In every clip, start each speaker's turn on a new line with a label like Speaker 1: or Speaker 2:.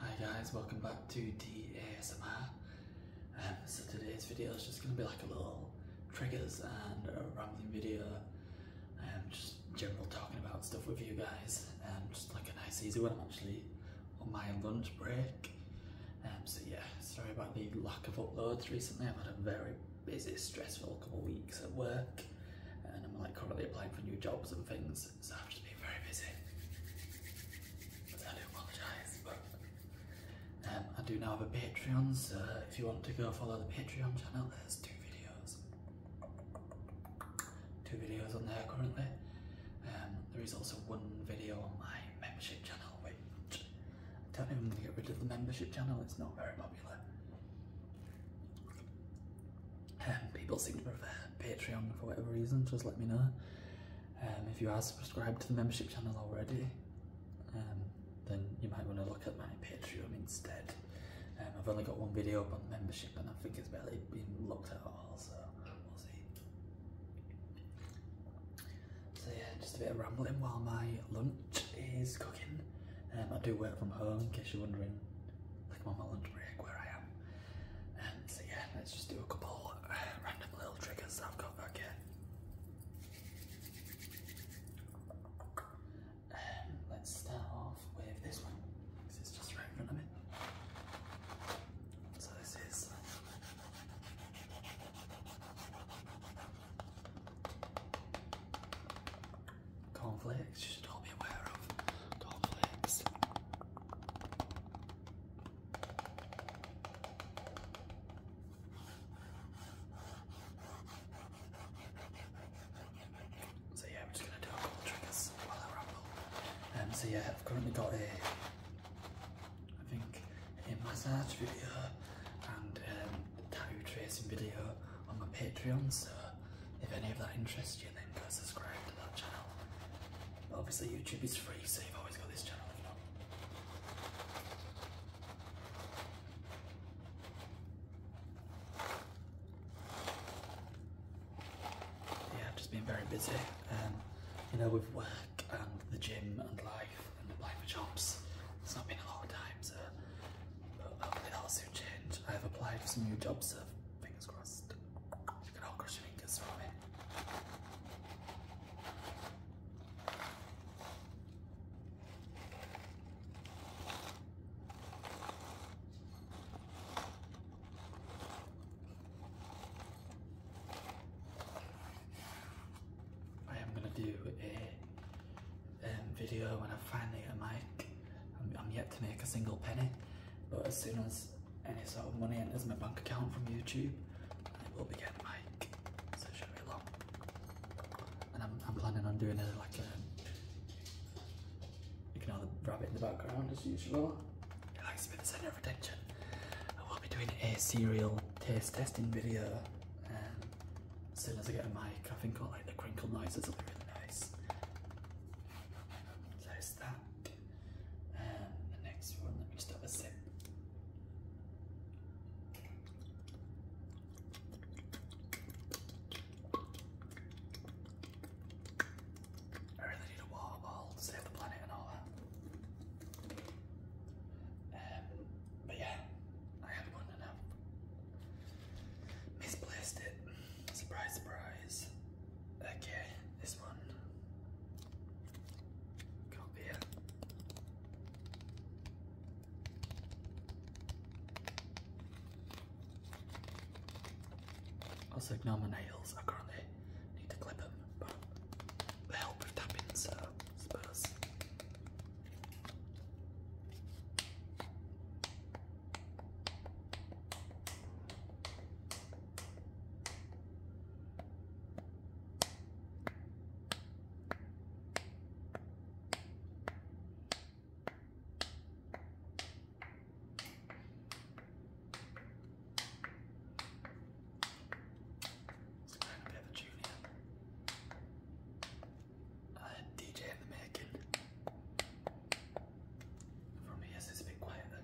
Speaker 1: Hi guys, welcome back to the ASMR. Um, so today's video is just going to be like a little triggers and a rambling video. and um, just general talking about stuff with you guys. and um, just like a nice easy one. I'm actually on my lunch break. so yeah, sorry about the lack of uploads recently. I've had a very busy, stressful couple of weeks at work. And I'm like currently applying for new jobs and things. I've just been very busy. Um, I do now have a Patreon, so if you want to go follow the Patreon channel, there's two videos. Two videos on there currently. Um, there is also one video on my membership channel, which I don't even get rid of the membership channel, it's not very popular. Um, people seem to prefer Patreon for whatever reason, just let me know. Um, if you are subscribed to the membership channel already, um, then you might want to look at my Patreon instead. I've only got one video up on membership and I think it's barely been looked at all, so we'll see. So yeah, just a bit of rambling while my lunch is cooking. I do work from home, in case you're wondering, like my lunch break where I am so yeah, let's just do a couple uh, random little triggers that I've got back here. Um, let's start off with this one. This is just right So this is cornflakes. You should all be aware of conflicts. So yeah, we're just going to do a couple triggers while I ramble. Um, so yeah, I've currently got a, I think, a massage video and um, a tattoo tracing video on my Patreon, so if any of that interests you, then go subscribe to that channel. Obviously YouTube is free, so you've always got this channel, Yeah, I've just been very busy, um, you know, with work and the gym and life and applying for jobs. It's not been a lot of time, so but hopefully that'll soon change. I've applied for some new jobs, so fingers crossed. I am gonna do a um, video when I finally get a mic. I'm yet to make a single penny, but as soon as any sort of money enters my bank account from YouTube, I will be getting like, so should be long. And I'm, I'm planning on doing it like a, you can hear the rabbit in the background as usual. It likes to be the center of attention. I will be doing a cereal taste testing video. Um, as soon as I get a mic, I think all like the crinkle noises will be really nice. So it's that. the next one, let me just have a sip. I really need a water bottle save the planet and all that. Um, but yeah, I had one and misplaced it. Surprise, surprise. Okay, this one. Copy it. Also ignore my nails, I currently need to clip them, but they help with tapping, so I suppose a bit of a junior. Uh, DJ in the making. For me, it's it's been quiet. Um,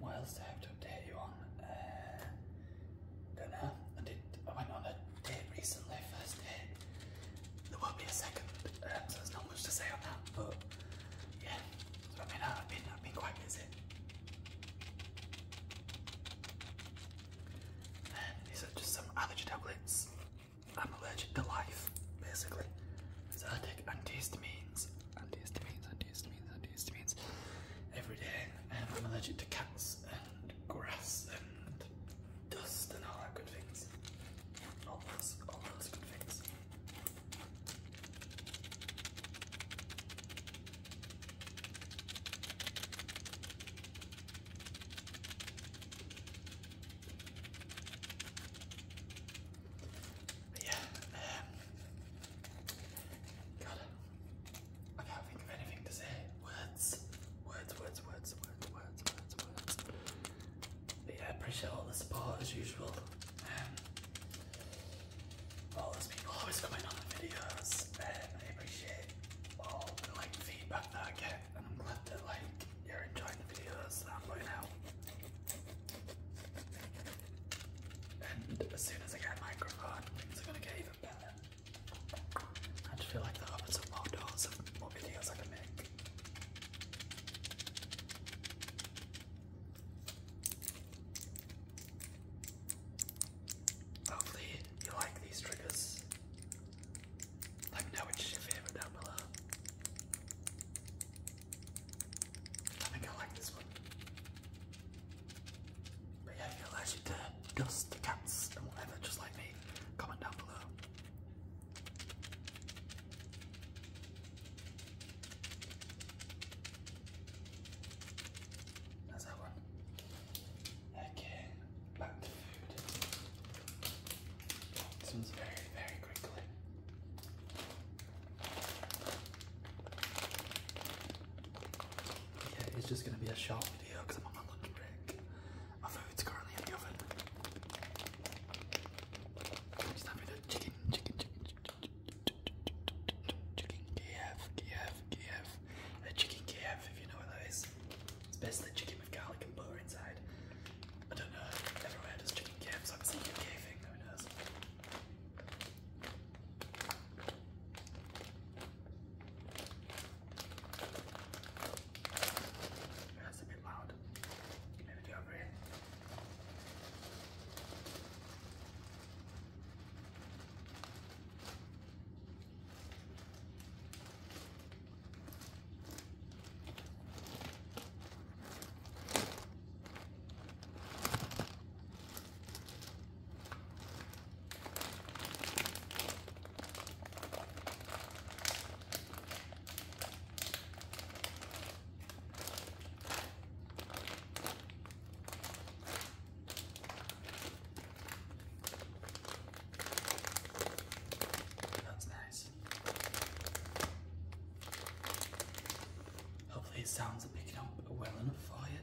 Speaker 1: what else do I have to update you on? Uh, dinner. I did. I went on a date recently, first date. There won't be a second, um, so there's not much to say on that. But yeah, so I mean, I've been I've been quite busy. Um, these are just some allergy tablets. I'm allergic to life, basically. So I take antihistamines, antihistamines, antihistamines, antihistamines every day. Um, I'm allergic to cats grass and dust and all that good things. All those, all those good things. yeah, um, God, I can't think of anything to say. Words. Words, words, words, words, words, words, words. But yeah, I appreciate all the support as usual. Um, all those people always coming on the videos. Um, I appreciate all the like feedback that I get and I'm glad that like you're enjoying the videos that I'm putting out. And as soon as I get a microphone, things are gonna get I just feel like that opens up more doors more videos I can make. Hopefully you like these triggers. Let me know which is your favourite down below. I think I like this one. But yeah, it allows you to dust cats and whatever, just like me. Comment down below. That's that one. Okay, back to food. This one's very, very quickly. Yeah, it's just gonna be a short video because I'm on my lunch break. My food's currently in the oven. I'm chicken, chicken, chicken, chicken, chicken Kiev, Kiev, Kiev. A chicken Kiev, if you know what that is. It's basically chicken with garlic and butter inside. I don't know, everywhere does chicken Kiev, so I'm seeing a Kiev thing, who knows. That's a bit loud. Give me the over here. That's nice. Hopefully, it sounds are picking up well enough for you.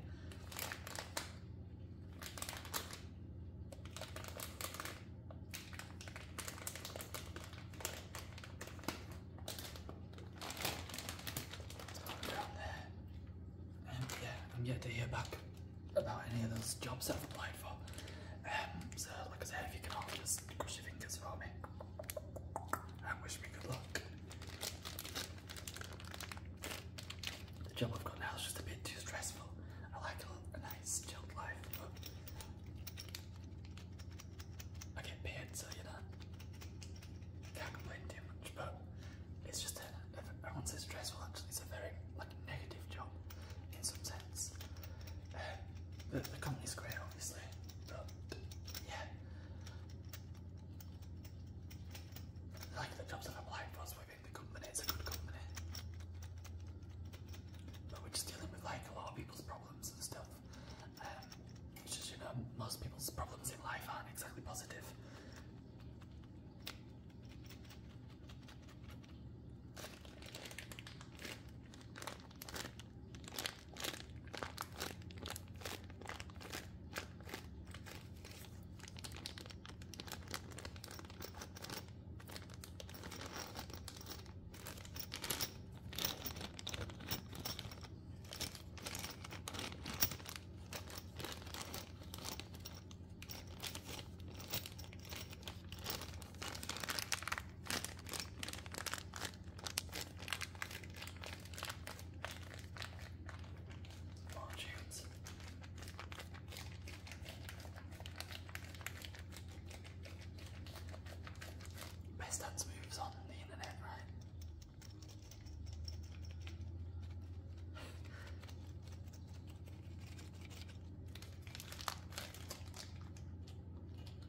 Speaker 1: Um, I'm yet to hear back about any of those jobs I've applied for. Um, so, like I said, if you can all just cross your fingers for me and wish me good luck. The job I've got now is just a bit too stressful. I like a, a nice, chilled life, but I get paid, so you know, can't complain too much. But it's just, a, I won't say stressful. it's a very like negative job in some sense. Um, the, company's great, obviously, but yeah. Like the jobs that I've applied for, so think a good company. But we're just dealing with like a lot of people's problems and stuff. Um, it's just, you know, most people's problems in life aren't exactly positive. Oh, chance. Best dance moves on the internet, right?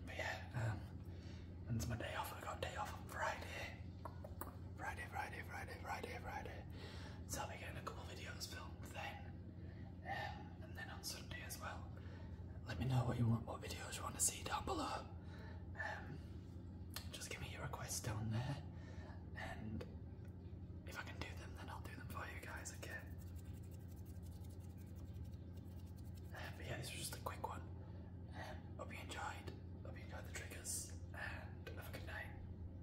Speaker 1: But yeah, um, when's my day off? I got day off on Friday. Friday, Friday, Friday, Friday, Friday. So I'll be getting a couple videos filmed then, um, and then on Sunday as well. Let me know what you want, what videos you want to see down below. Um, just give me your requests down there, and if I can do them, then I'll do them for you guys. again. Um, but yeah, this was just a quick one. hope you enjoyed. Hope you enjoyed the triggers, and have a good night.